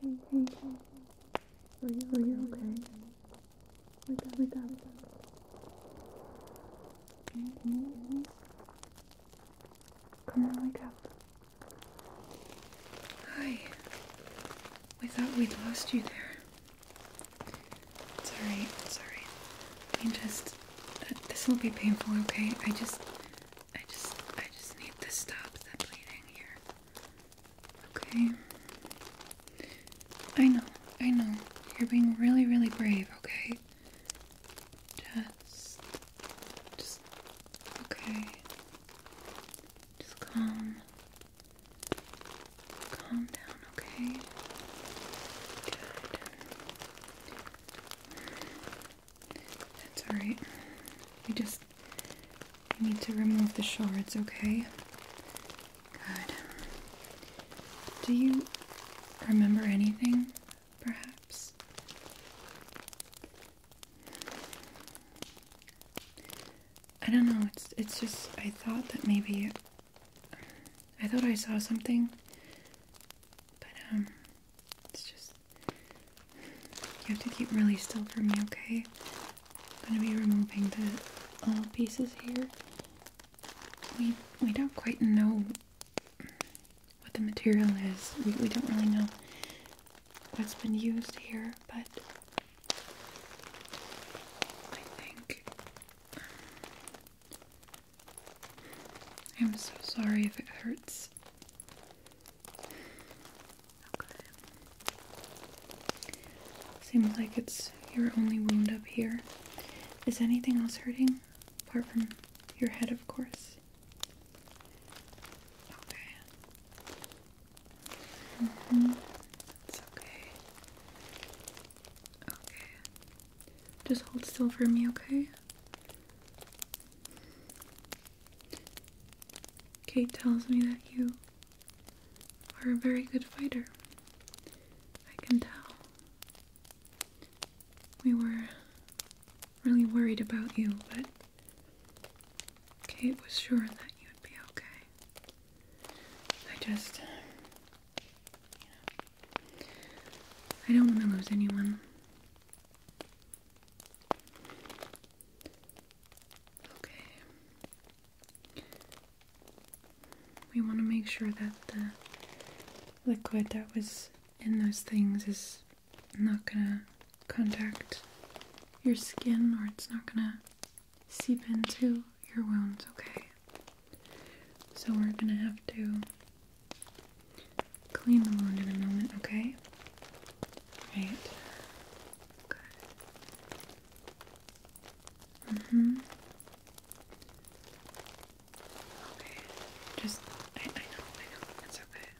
Hey, hey, hey. Are you, are you okay? Wake up, wake up. Can you, can you hear Come on, wake up. Hi. We thought we'd lost you there. It's alright, it's alright. I just. Uh, this will be painful, okay? I just. I just I just need to stop the bleeding here. Okay. I know, I know. You're being really, really brave, okay? Just just okay. Just calm. Calm down, okay? Good. That's alright. We just need to remove the shards, okay? Good. Do you remember anything, perhaps? I don't know, it's it's just I thought that maybe I thought I saw something. But um it's just you have to keep really still for me, okay? I'm gonna be removing the little uh, pieces here. We we don't quite know what the material is. We we don't really know what's been used here, but I think um, I'm so sorry if it hurts. Seems like it's your only wound up here. Is anything else hurting? Apart from your head, of course. Okay. Mm-hmm. It's okay. Okay. Just hold still for me, okay? Kate tells me that you are a very good fighter. I can tell. We were really worried about you, but Kate was sure that you'd be okay. I just. I don't want to lose anyone. Okay. We want to make sure that the liquid that was in those things is not gonna contact your skin or it's not gonna seep into your wounds, okay? So we're gonna have to clean the wound in a moment, okay? Right. Good. Mm-hmm. Okay. Just I, I know, I know, it's okay.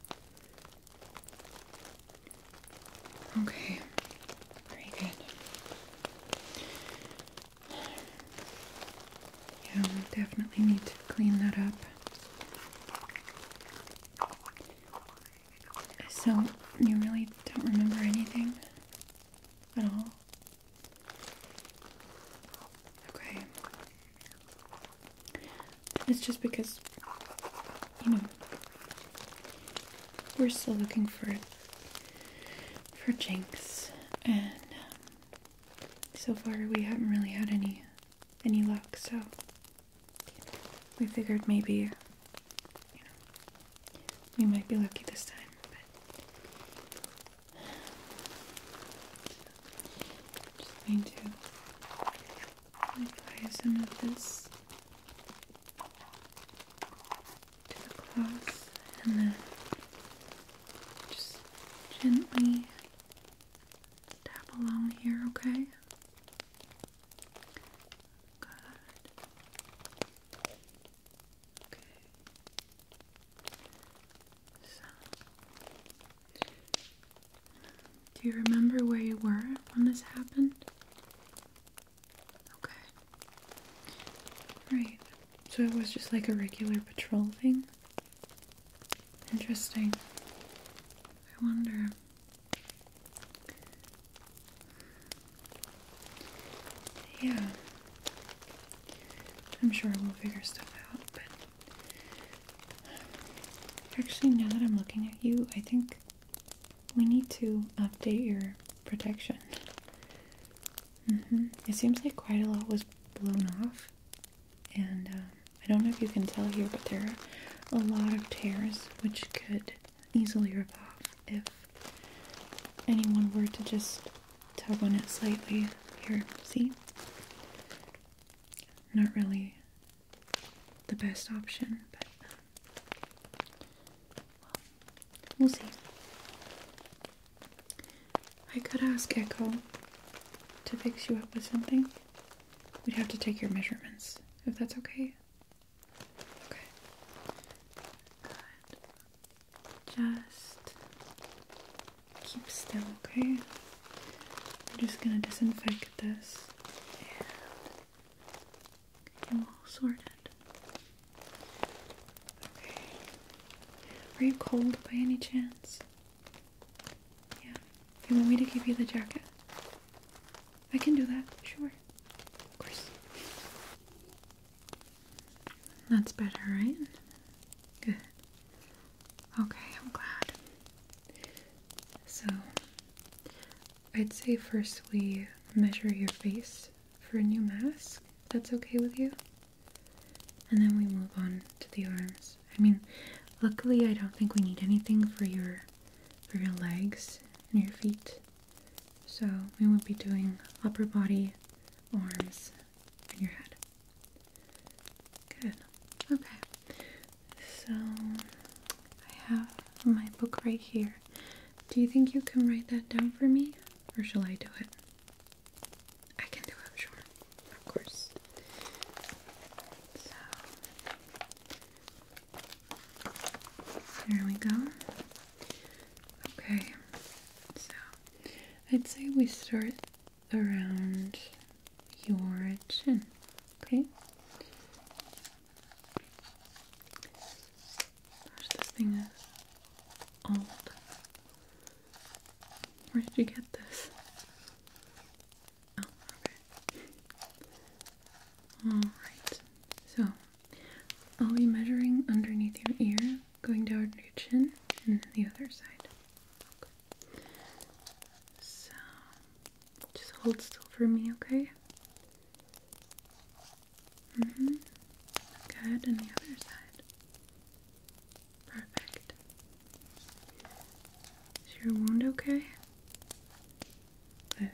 Okay. Very good. Yeah, we definitely need to clean that up. So, you really don't remember anything at all? Okay. It's just because, you know, we're still looking for for Jinx, and um, so far we haven't really had any any luck. So we figured maybe, we might be lucky this time, just going to apply some of this to the cloth and then just gently tap along here, okay? Okay. So, do you remember where you were when this happened? Okay. Right. So it was just like a regular patrol thing? Interesting. I wonder. Yeah. I'm sure we'll figure stuff out, but actually, now that I'm looking at you, I think we need to update your protection. Mm-hmm. It seems like quite a lot was blown off, and um, I don't know if you can tell here, but there are a lot of tears which could easily rip off if anyone were to just tug on it slightly. Here, see? Not really the best option, but we'll see. I could ask Echo to fix you up with something. We'd have to take your measurements, if that's okay. Okay. Good. Just keep still, okay? I'm just gonna disinfect this and get you all sorted. Okay. Are you cold by any chance? Yeah. You want me to give you the jacket? I can do that, sure. Of course. That's better, right? Good. Okay, I'm glad. So, I'd say first we measure your face for a new mask. That's okay with you? And then we move on to the arms. I mean, luckily, I don't think we need anything for your for your legs and your feet. So we will be doing upper body, arms, and your head. Good. Okay. So I have my book right here. Do you think you can write that down for me? Or shall I do it? I can do it, sure. Of course. So there we go. Okay, so I'd say we start around your chin, okay? Gosh, this thing old. Where did you get this? Oh, okay. Alright, so I'll be measuring underneath your ear, going down to your chin, and the other side. So, just hold still for me, okay? Mm hmm. Good, and the other side. Perfect. Is your wound okay? Good.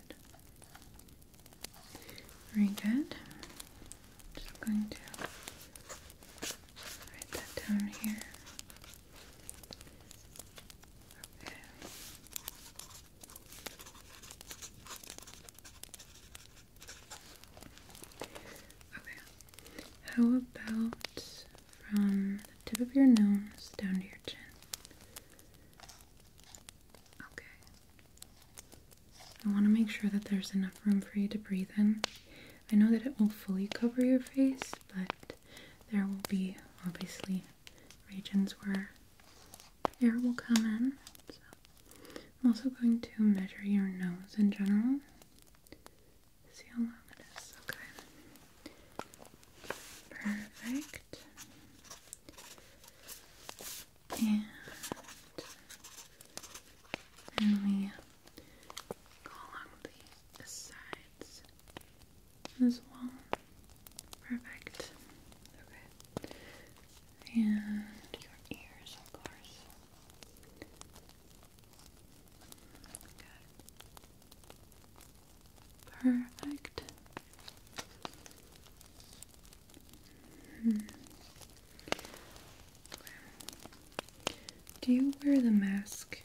Very good. Just going to write that down here. Okay. Okay. How about from the tip of your nose down to your chin? Okay. I want to make sure that there's enough room for you to breathe in. I know that it will fully cover your face, but there will be obviously regions where air will come in. I'm also going to measure your nose in general. See how long it is. Okay. Perfect. And we go along the sides as well. Perfect. Okay. And your ears, of course. Good. Perfect. Hmm. Do you wear the mask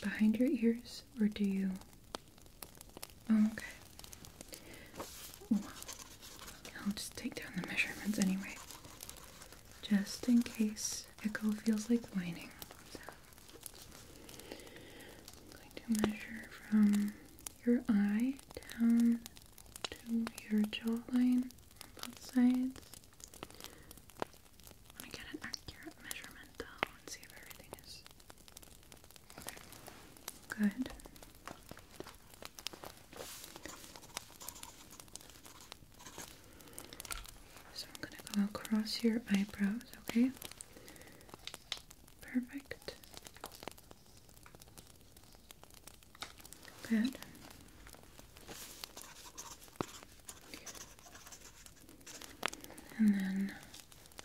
behind your ears or do you? Oh, okay. Well, I'll just take down the measurements anyway, just in case Echo feels like whining going to measure from your eye down to your jawline on both sides. want to get an accurate measurement though and see if everything is Good. So I'm going to go across your eyebrows, okay? Perfect. Good. And then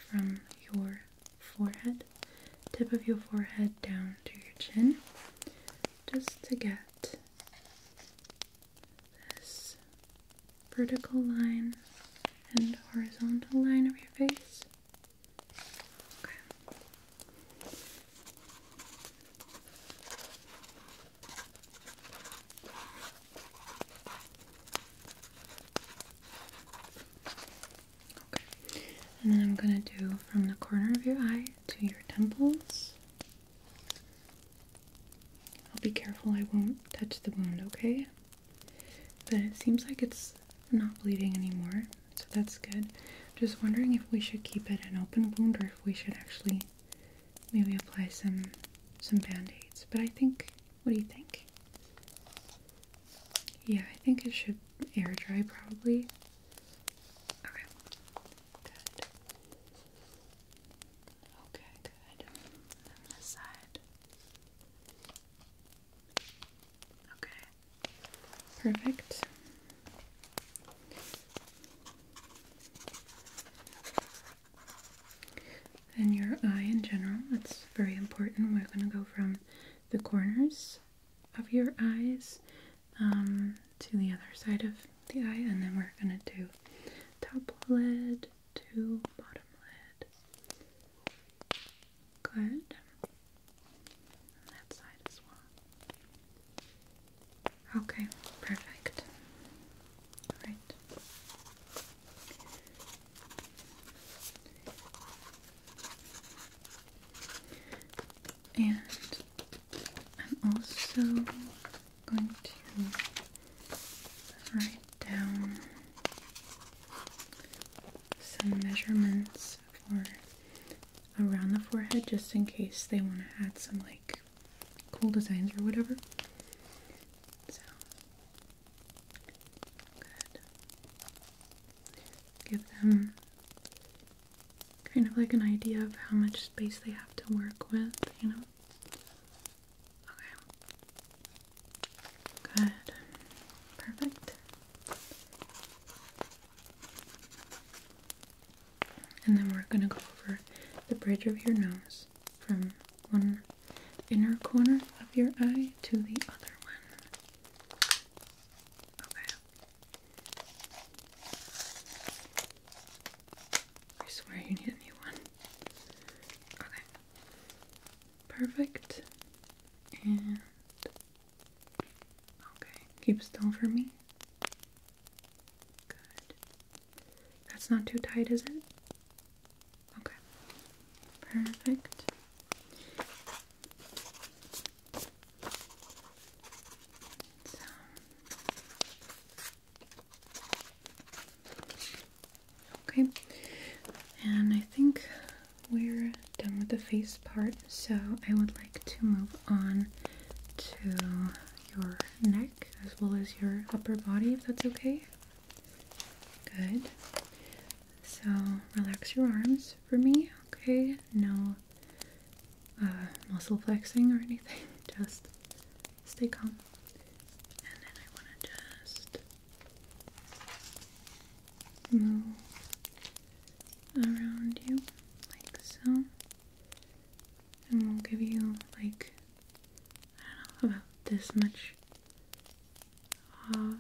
from your forehead, tip of your forehead down to your chin, just to get this vertical line and horizontal line of your face. Okay. Okay. And then I'm going to do from the corner of your eye to your temples. I'll be careful I won't touch the wound, okay? But it seems like it's not bleeding anymore, so that's good. Just wondering if we should keep it an open wound or if we should actually maybe apply some some band-aids. But I think what do you think? Yeah, I think it should air dry probably. Okay. Good. Okay, good. this side. Okay. Perfect. And your eye in general, that's very important. We're going to go from the corners of your eyes um, to the other side of the eye, and then we're going to do top lid, to bottom lid. Good. On that side as well. Okay, perfect. Alright. And I'm also going to write down some measurements for around the forehead just in case they want to add some like cool designs or whatever. So Give them kind of like an idea of how much space they have to work with, you know. Okay. Good. Perfect. And then we're going to go over the bridge of your nose from one inner corner of your eye to the other one. Okay. I swear you need a new one. Okay. Perfect. And okay, keep still for me. Good. That's not too tight, is it? Okay. Perfect. Okay, and I think we're done with the face part, so I would like to move on to your neck as well as your upper body if that's okay. Good. So relax your arms for me, okay? No uh, muscle flexing or anything, just stay calm. And then I want to just move around you like so. And we'll give you like I don't know about this much of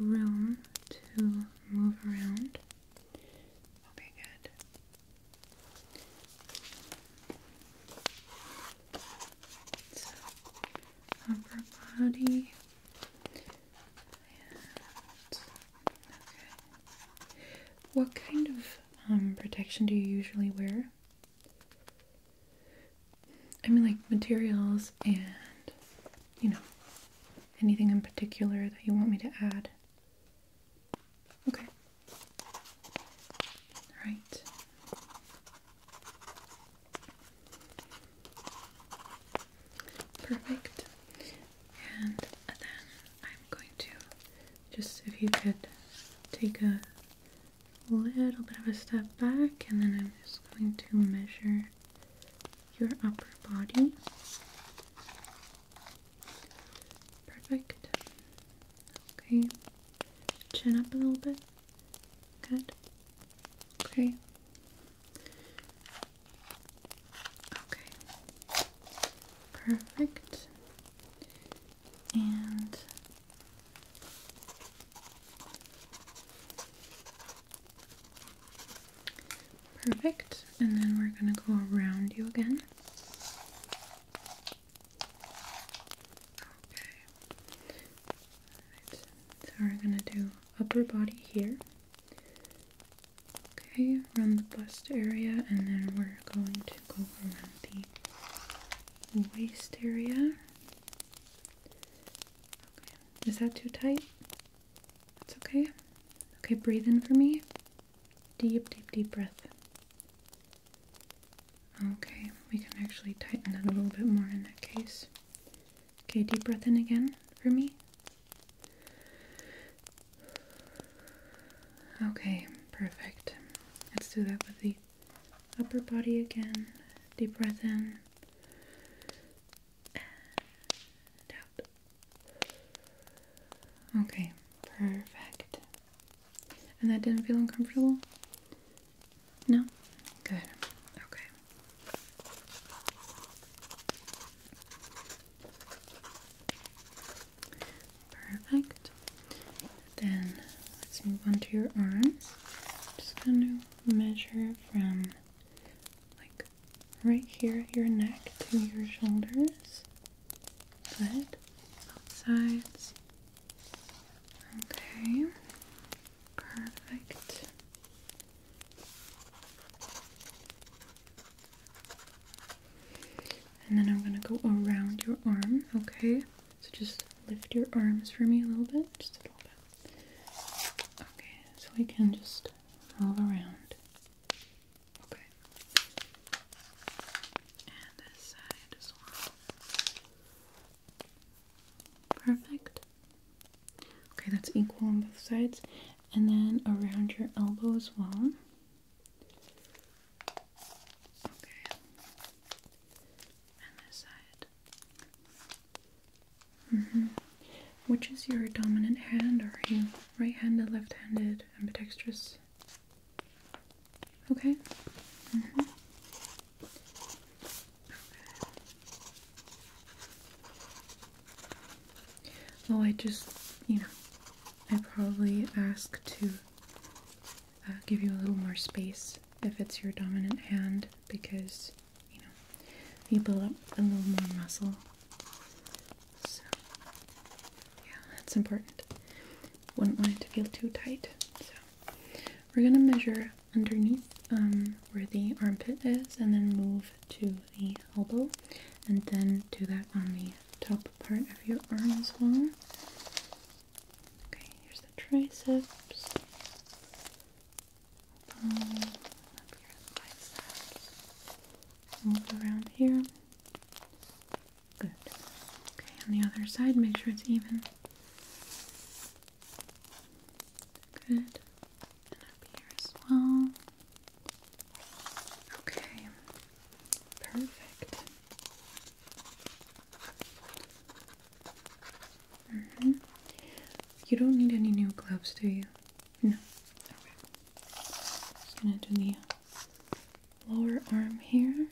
room to move around. Okay, good upper body. What kind of um, protection do you usually wear? I mean, like materials and, you know, anything in particular that you want me to add. Okay. All right. Perfect. And then I'm going to just if you could take a little bit of a step back, and then I'm just going to measure your upper body. Perfect. Okay. Chin up a little bit. Good. Okay. Okay. Perfect. And perfect. And then we're going to go around you again. Okay. So we're gonna do upper body here. Okay, around the bust area, and then we're going to go around the waist area. is that too tight? It's okay. Okay, breathe in for me. Deep, deep, deep breath. Okay, we can actually tighten it a little bit more in that case. Okay, deep breath in again for me. Okay, perfect. Let's do that with the upper body again. Deep breath in. And out. Okay, perfect. And that didn't feel uncomfortable? No? Good. Okay. Perfect. Then let's move on to your arms. just going to measure from like right here at your neck to your shoulders. Good. Both sides. Okay. Perfect. And then I'm going to go around your arm, okay? So just lift your arms for me a little bit, just a little bit. Okay, so we can just move around. Okay. And this side as well. Perfect. Okay, that's equal on both sides. And then around your elbow as well. Okay. And this side. Mm-hmm. Which is your dominant hand? Or are you right-handed, left-handed, ambidextrous? Okay. Mm-hmm. Oh, I just, you know, I probably ask to uh, give you a little more space if it's your dominant hand because, you know, you build up a little more muscle. So, yeah, that's important. Wouldn't want it to feel too tight. We're going to measure underneath um, where the armpit is and then move to the elbow and then do that on the top part of your arm as well. Okay, here's the triceps. Um, the biceps. Move around here. Good. Okay, on the other side, make sure it's even. Good. And up here as well. Okay. Perfect. Mm hmm You don't need any new gloves, do you? No. Okay. Just gonna do the lower arm here.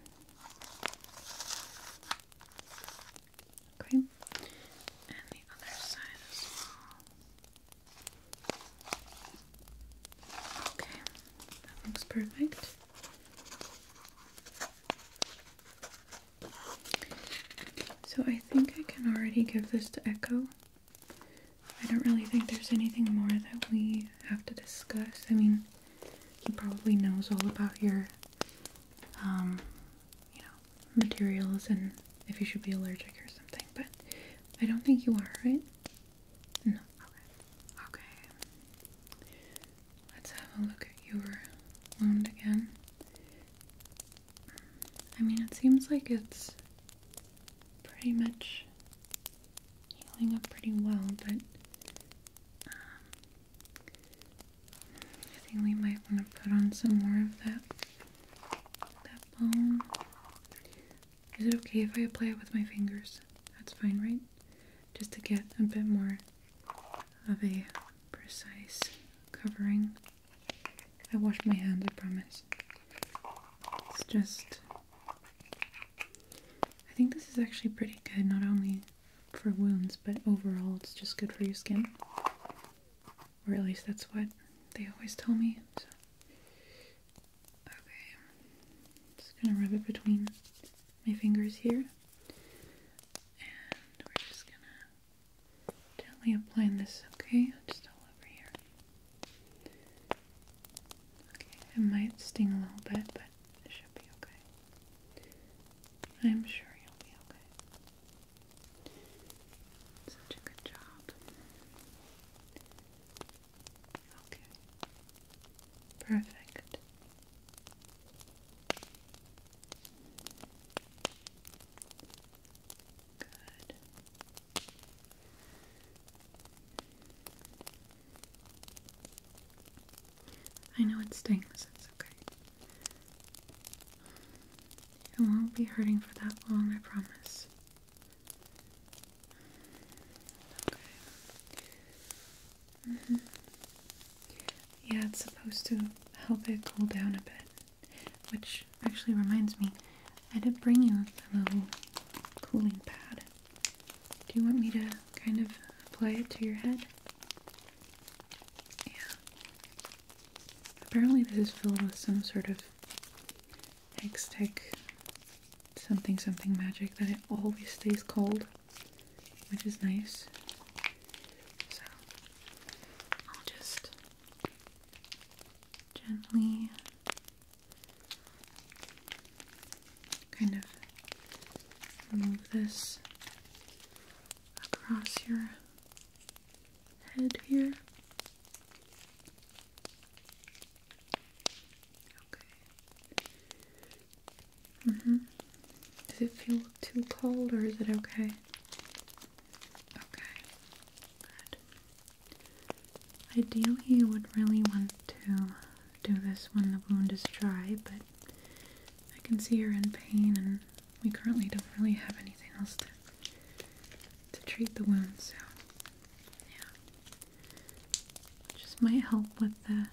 Okay, and the other side as well. Okay, that looks perfect. So I think I can already give this to Echo. I don't really think there's anything more that we have to discuss. I mean, he probably knows all about your, um, you know, materials and if you should be allergic or something, but I don't think you are, right? No. Okay. Okay. Let's have a look at your wound again. I mean, it seems like it's pretty much healing up pretty well, but um, I think we might want to put on some more of that that balm. Is it okay if I apply it with my fingers? That's fine, right? Just to get a bit more of a precise covering. I wash my hands, I promise. It's just I think this is actually pretty good, not only for wounds, but overall it's just good for your skin. Or at least that's what they always tell me. So. Okay. Just gonna rub it between my fingers here. And we're just gonna gently applying this, okay? Just all over here. Okay, it might sting a little bit, but it should be okay. I'm sure you'll be okay. Such a good job. Okay. Perfect. Good. I know it stings, it's okay. It won't be hurting for that long, I promise. Okay. Mm-hmm. Yeah, it's supposed to help it cool down a bit. Which actually reminds me, I did bring you the little cooling pad. Do you want me to kind of apply it to your head? Yeah. Apparently, this is filled with some sort of Hextech something something magic that it always stays cold, which is nice. So, I'll just gently kind of move this across your head here. Okay. hmm Does it feel too cold or is it okay? Okay. Good. Ideally, you would really want to do this when the wound is dry, but I can see you're in pain and we currently don't really have anything else to, to treat the wound, so yeah. Just might help with the,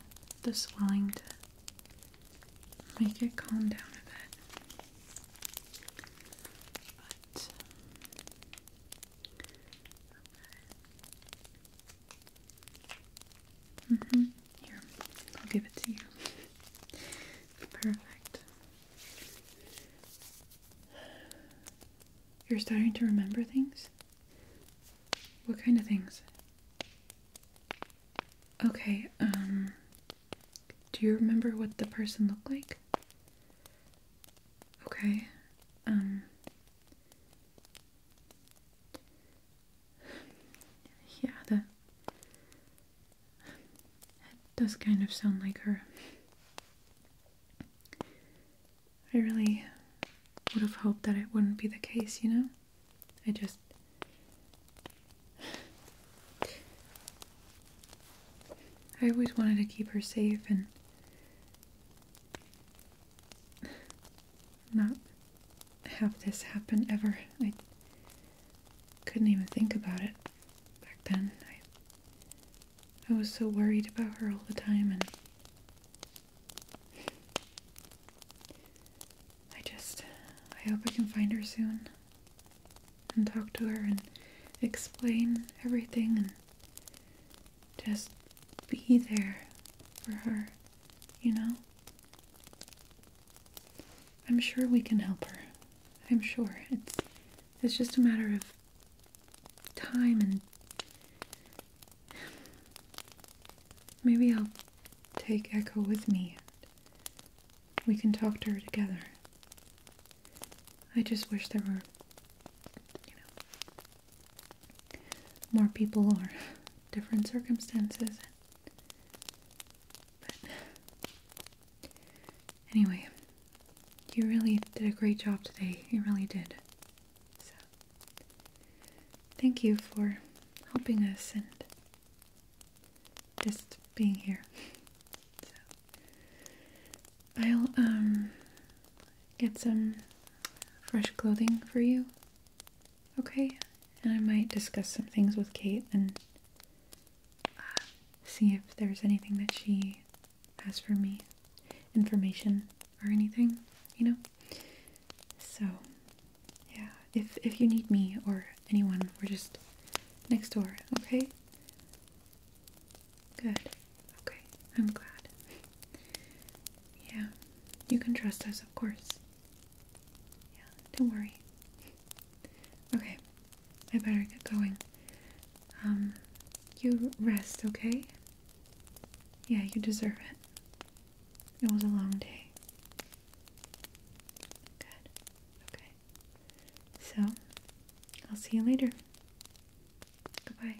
the swelling to make it calm down a bit. But, mm-hmm, Here, I'll give it to you. Perfect. You're starting to remember things? What kind of things? Okay, um, do you remember what the person looked like? Okay, um, yeah, that, that does kind of sound like her. I really would have hoped that it wouldn't be the case, you know? I just. I always wanted to keep her safe and. not have this happen ever couldn't even think about it back then. I, was so worried about her all the time, and I just, I hope I can find her soon and talk to her and explain everything and just be there for her, you know? I'm sure we can help her. I'm sure. It's it's just a matter of time and maybe I'll take Echo with me we can talk to her together. I just wish there were you know more people or different circumstances. Anyway, you really did a great job today. You really did. So, thank you for helping us and just being here. I'll um, get some fresh clothing for you. Okay? And I might discuss some things with Kate and uh, see if there's anything that she has for me, information or anything, you know? So, yeah, if, if you need me or anyone, we're just next door, okay? Good. Okay, I'm glad. Yeah, you can trust us, of course. Yeah, don't worry. Okay, I better get going. Um, you rest, okay? Yeah, you deserve it. It was a long day. Good. Okay. So, I'll see you later. Goodbye.